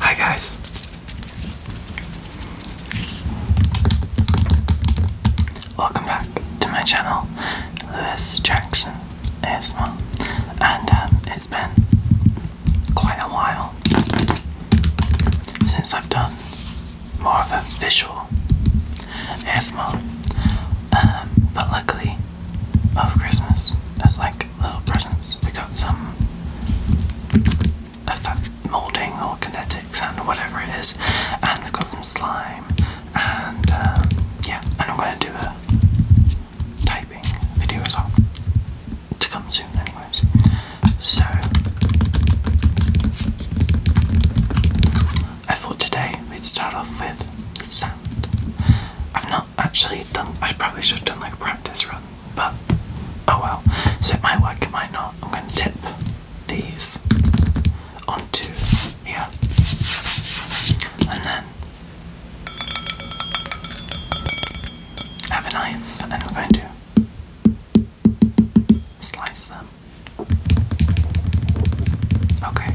Hi guys. Welcome back to my channel, Lewis Jackson ASMR, and um, it's been quite a while since I've done more of a visual ASMR, um, but luckily of Christmas as like little presents. We have got some of that molding or kinetics and whatever it is, and we've got some slime, and um, yeah, and I'm going to do a typing video as well to come soon, anyways. So I thought today we'd start off with sound. I've not actually done. I probably should have done like a practice run, but oh well. So it might work, it might not. I'm going to tip these onto here, and then I have a knife, and I'm going to slice them. Okay.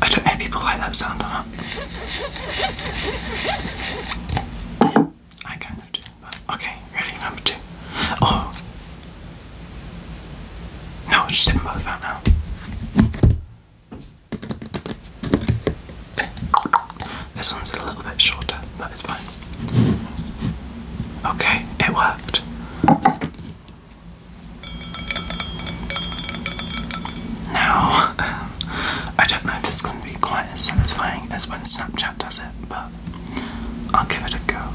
I don't know people like that sound I kind of do. okay, ready? Number two. Oh. No, just didn't now. This one's a little bit shorter, but it's fine. Okay, it worked. Now, I don't know if this can be quite as satisfying as when Snapchat does it, but I'll give it a go.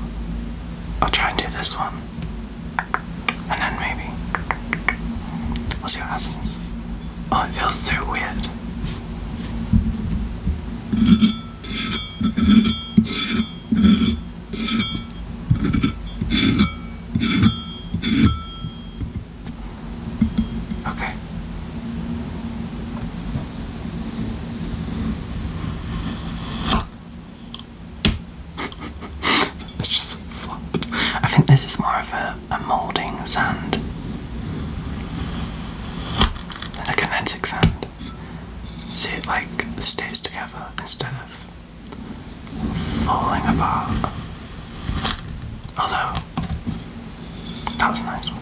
I'll try and do this one, and then maybe we'll see what happens. Oh, it feels so weird. Okay. it's just flopped. I think this is more of a, a moulding sand than a kinetic sand. So it like stays together instead of falling apart. Although, that was a nice one.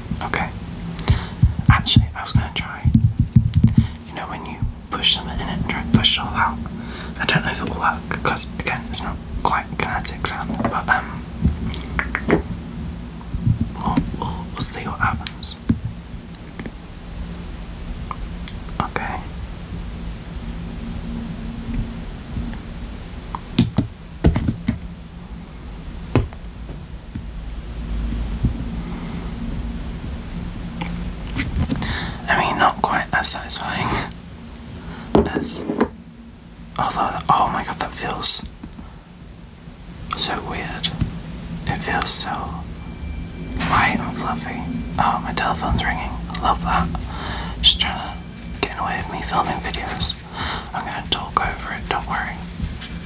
Okay. Actually, I was gonna try. You know, when you push them in and try to push it all out. I don't know if it'll work because, again, it's not quite kinetic sound, but um, we'll, we'll, we'll see what happens. Okay. I mean, not quite as satisfying as. Although, oh my god, that feels so weird. It feels so light and fluffy. Oh, my telephone's ringing. I love that. Just trying to get away with me filming videos. I'm gonna talk over it, don't worry.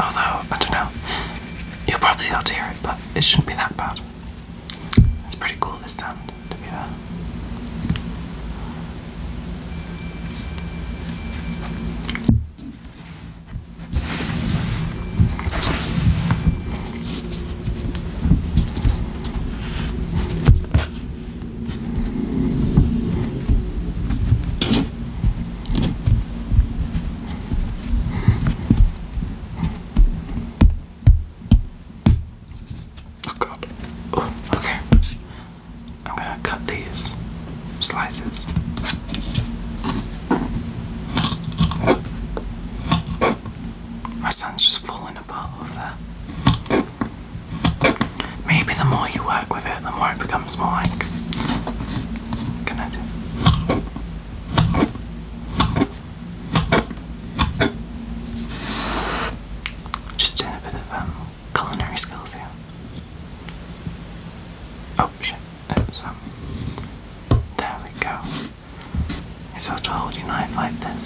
Although, I don't know, you'll probably be hear it, but it shouldn't be that bad. It's pretty cool this sound to be there. Oh god. Oh, okay. I'm gonna cut these slices. My son's just falling apart over there. Maybe the more you work with it, the more it becomes more like connected. Just doing a bit of um, culinary skills here. Oh shit, it's oh, um. There we go. You sort of hold your knife like this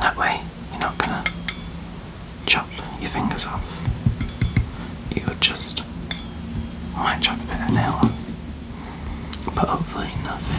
that way, you're not gonna chop your fingers off. You just might chop a bit of nail off, but hopefully nothing.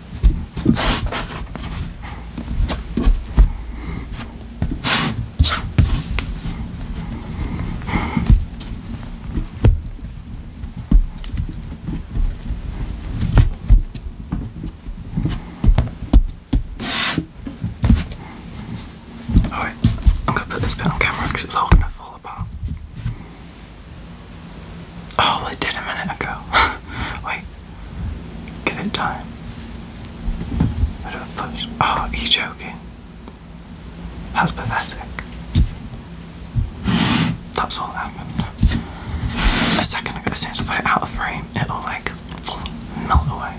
Alright, I'm gonna put this bit on camera because it's all gonna fall apart. Oh, it did a minute ago. Wait. Give it time. What do I push? Oh, are you joking? That's pathetic. That's all that happened. A second ago, as soon as I put out of frame, it'll like melt away.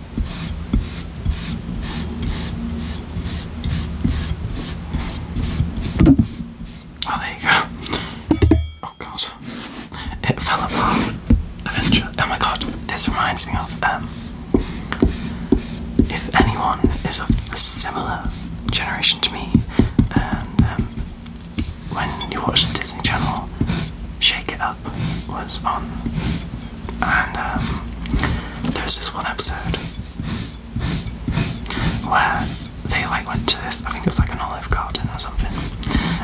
Oh, there you go. Oh god, it fell apart Oh my god, this reminds me of um, if anyone is of a similar generation to me, and um, when you watch Disney Channel, Shake It Up was on and um, there's this one episode where they like went to this, I think it was like an olive garden or something,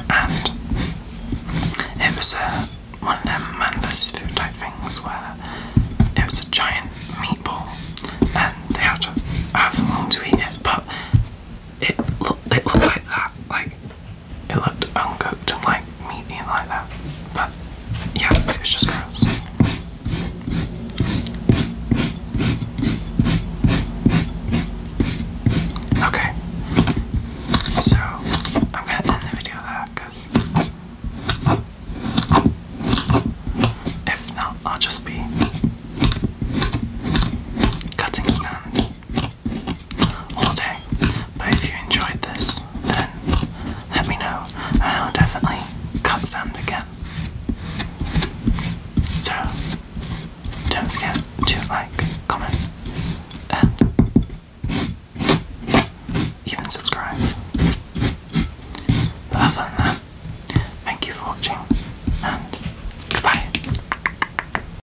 and it was a one of them man versus food type things where it was a giant meatball and they had to have long to eat it, but it, look, it looked like that, like it looked uncooked and like meaty and like that. But yeah, it was just gross. Okay. So I'm gonna end the video there because if not, I'll just be cutting the sand all day. But if you enjoyed this, then let me know, I'll definitely cut sand again. So, don't forget to like, comment, and even subscribe. But other than that, thank you for watching, and goodbye.